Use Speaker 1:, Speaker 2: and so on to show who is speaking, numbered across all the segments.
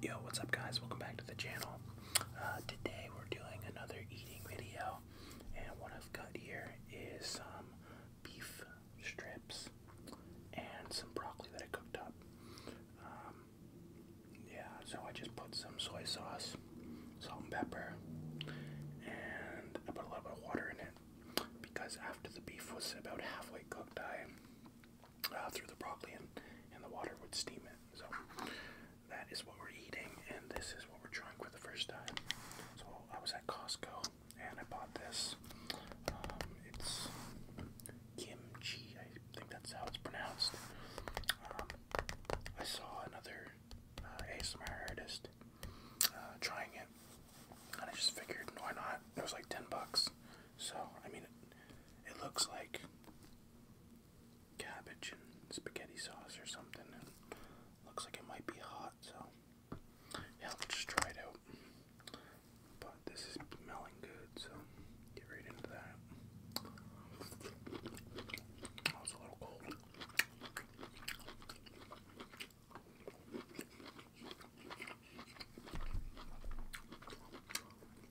Speaker 1: Yo, what's up guys? Welcome back to the channel. Uh, today we're doing another eating video and what I've got here is some beef strips and some broccoli that I cooked up. Um, yeah, so I just put some soy sauce, salt and pepper, and I put a little bit of water in it because after the beef was about halfway cooked I uh, through the broccoli and, and the water would steam it. So that is what we're eating, and this is what we're trying for the first time. So I was at Costco and I bought this. Um, it's kimchi, I think that's how it's pronounced. Um, I saw another uh, ASMR artist uh, trying it, and I just figured, why not? It was like 10 bucks. So, I mean, it looks like cabbage and spaghetti sauce or something. looks like it might be hot, so yeah, just try it out. But this is smelling good, so get right into that. Oh, it's a little cold.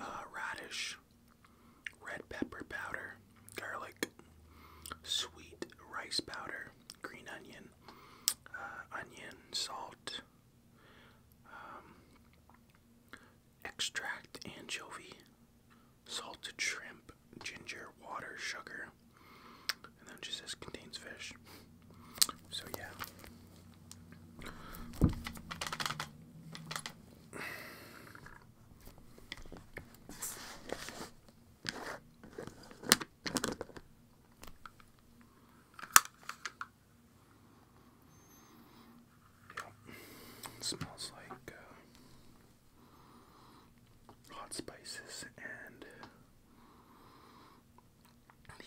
Speaker 1: Uh, radish, red pepper powder, garlic, sweet rice powder, green onion, uh, onion, salt, um, extract, anchovy, salted shrimp, ginger, water, sugar, and then it just says contains fish. So yeah. Yeah. smells like uh, hot spices and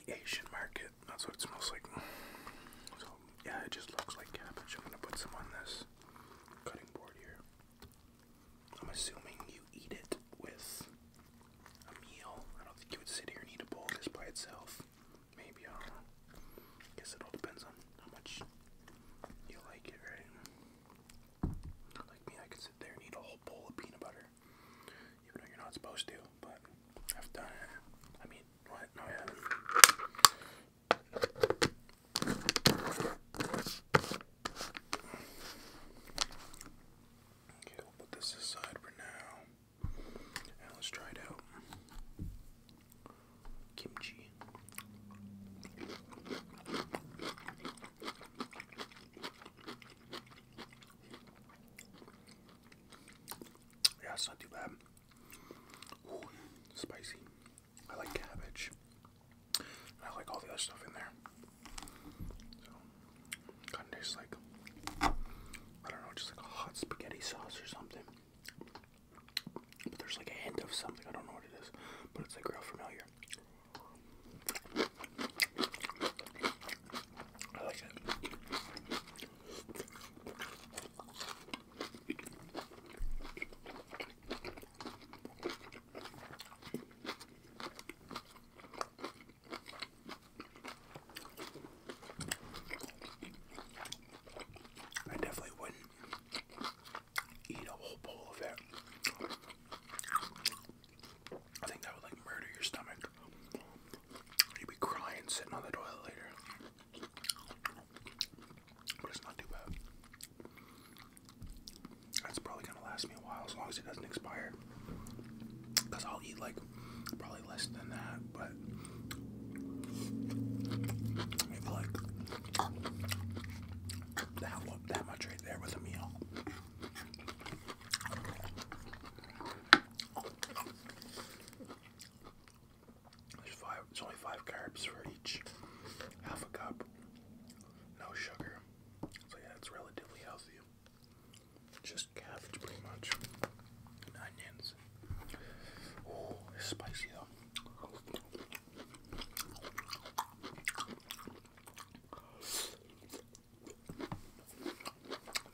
Speaker 1: the Asian market. That's what it smells like. So, yeah, it just looks like cabbage. I'm gonna put some on this cutting board here. I'm assuming you eat it with a meal. I don't think you would sit here and eat a bowl just by itself. Maybe, I do Guess it all depends on how much you like it, right? Like me, I could sit there and eat a whole bowl of peanut butter. Even though you're not supposed to, but I've done it. I mean, Okay, we'll put this aside for now. And let's try it out. Kimchi. Yeah, it's not too bad spicy. I like cabbage. I like all the other stuff in there. So, kind of tastes like, I don't know, just like a hot spaghetti sauce or something. But there's like a hint of something, I don't know what it is, but it's like real familiar. I like it. I definitely wouldn't eat a whole bowl of it. I think that would like murder your stomach. You'd be crying sitting on the toilet later. But it's not too bad. That's probably gonna last me a while as long as it doesn't expire. Because I'll eat like probably less than that, but maybe like that that much right there with a meal. There's five. There's only five carbs for each half a cup. No sugar. So yeah, it's relatively healthy. Just cabbage, pretty much, and onions. Oh, it's spicy though.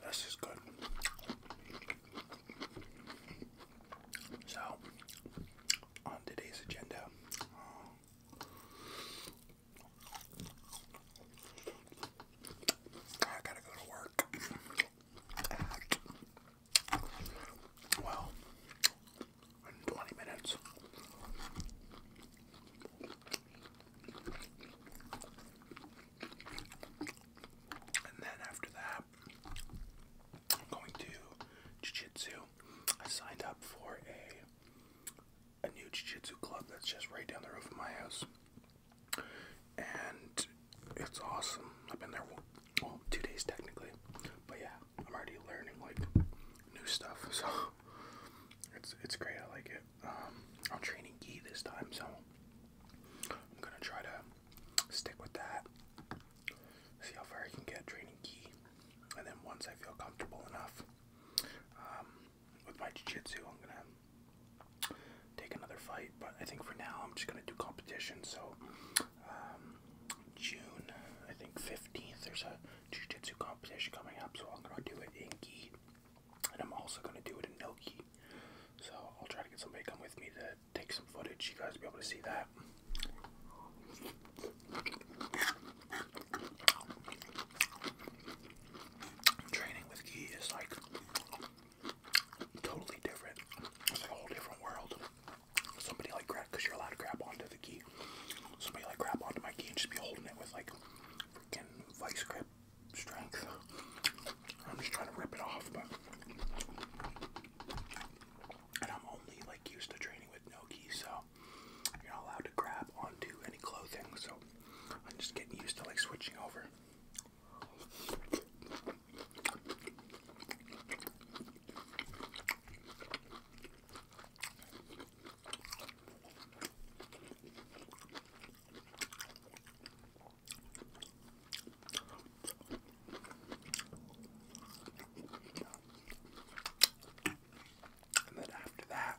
Speaker 1: This is good. So, on today's agenda, um, I gotta go to work. well, in 20 minutes. And then after that, I'm going to jiu-jitsu. I signed up for a a new jiu-jitsu club that's just right down the roof of my house. And it's awesome. I've been there well, two days technically. But yeah, I'm already learning like new stuff. So it's it's great. I like it. Um, I'm training gi this time, so I'm gonna try to stick with that. See how far I can get training key. And then once I feel comfortable enough um, with my jiu-jitsu, I'm going to take another fight. But I think for now, I'm just going to do competition. So um, June, I think 15th, there's a jiu-jitsu competition coming up. So I'm going to do it in gi. And I'm also going to do it in no gi. So I'll try to get somebody to come with me to take some footage. You guys be able to see that. Training with Gi is like totally different. It's a whole different world. Somebody like grab because you're allowed to grab onto the Gi. Somebody like grab onto my Gi and just be holding it with like freaking vice grip strength. I'm just trying to rip it off, but and I'm only like used to training with Noki, so you're not allowed to grab onto any clothing, so I'm just getting used to like switching over. And then after that,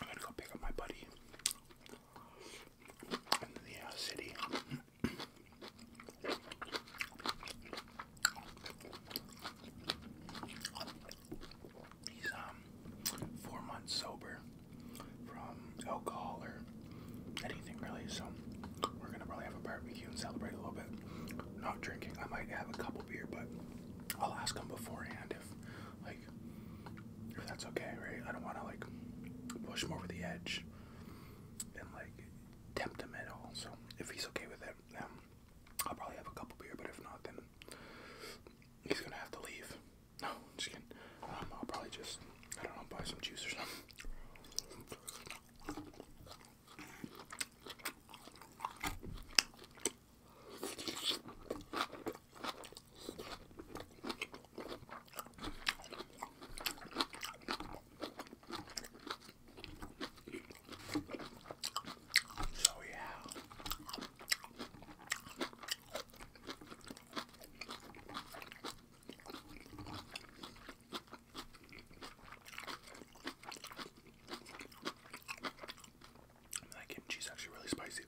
Speaker 1: I'm gonna go pick up my buddy in the uh, city. He's um, four months sober from alcohol or anything really. So we're gonna probably have a barbecue and celebrate a little bit. Not drinking. I might have a couple beer, but I'll ask him beforehand if like if that's okay, right? I don't want to like push him over the edge and like tempt him at all. So if he's okay with it, then I'll probably have a couple beer. But if not, then he's gonna have to leave. No, just kidding. Um, I'll probably just, I don't know, buy some juice or something. So yeah, that kimchi is actually really spicy.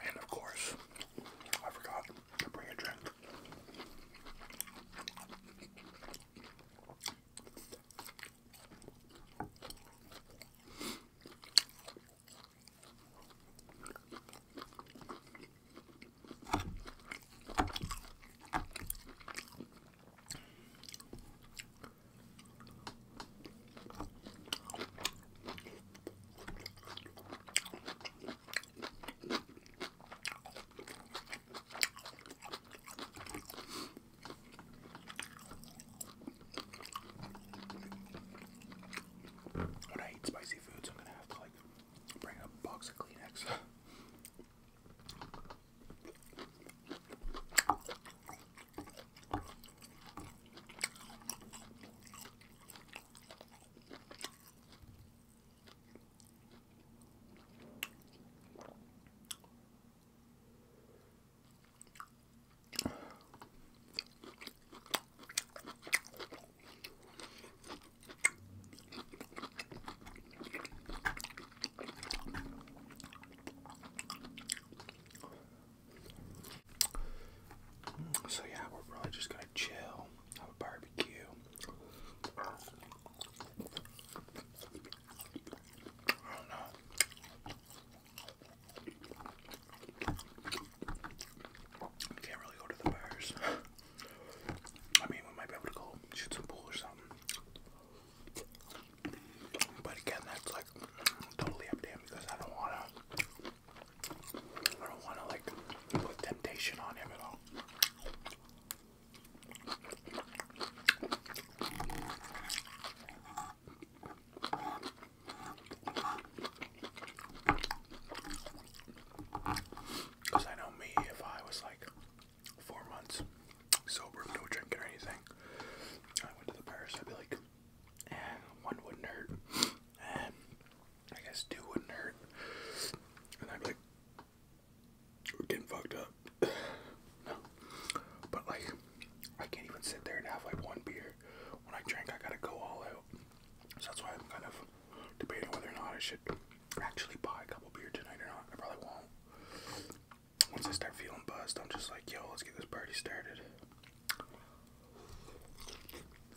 Speaker 1: And of course, I forgot I'll bring a drink. When I eat spicy foods, I'm gonna have to like bring a box of Kleenex. So yeah, we're probably just gonna chill, have a barbecue, I don't know. Can't really go to the bars. I mean, we might be able to go shoot some pool or something. But again, that's like totally up to him because I don't wanna. I don't wanna like put temptation on him at all. Because I know me, if I was like four months sober, no drinking or anything, I went to the bars. I'd be like, and eh, one wouldn't hurt, and eh, I guess two wouldn't hurt, and I'd like, we're getting fucked up. no. But like I can't even sit there and have like one beer. When I drink I gotta go all out. So that's why I'm kind of debating whether or not I should actually buy a couple beer tonight or not. I probably won't. Once I start feeling buzzed, I'm just like, yo, let's get this party started.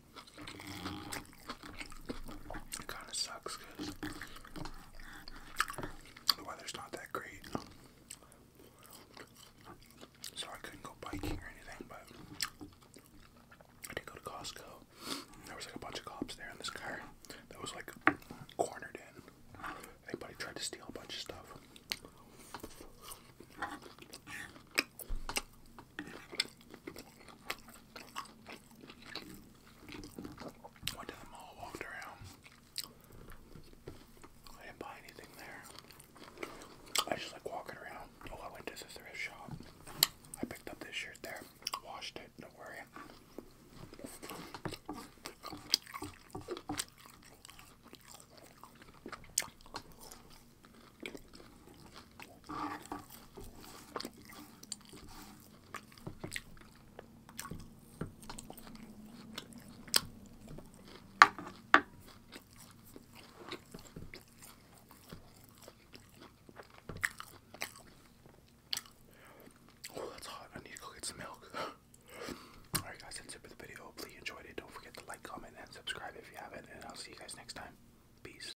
Speaker 1: It kind of sucks because the weather's not that great. So I couldn't go biking or anything, but I did go to Costco. There was like a bunch of cops there, and this car that was like cornered in. Anybody tried to steal a bunch of stuff. Went to the mall, walked around. I didn't buy anything there. I just like walking around. Oh, I went to the thrift shop. I picked up this shirt there, washed it, don't worry. Oh, that's hot. I need to go get some milk. Alright, guys, that's it for the video. Hopefully, you enjoyed it. Don't forget to like, comment, and subscribe if you haven't. And I'll see you guys next time. Peace.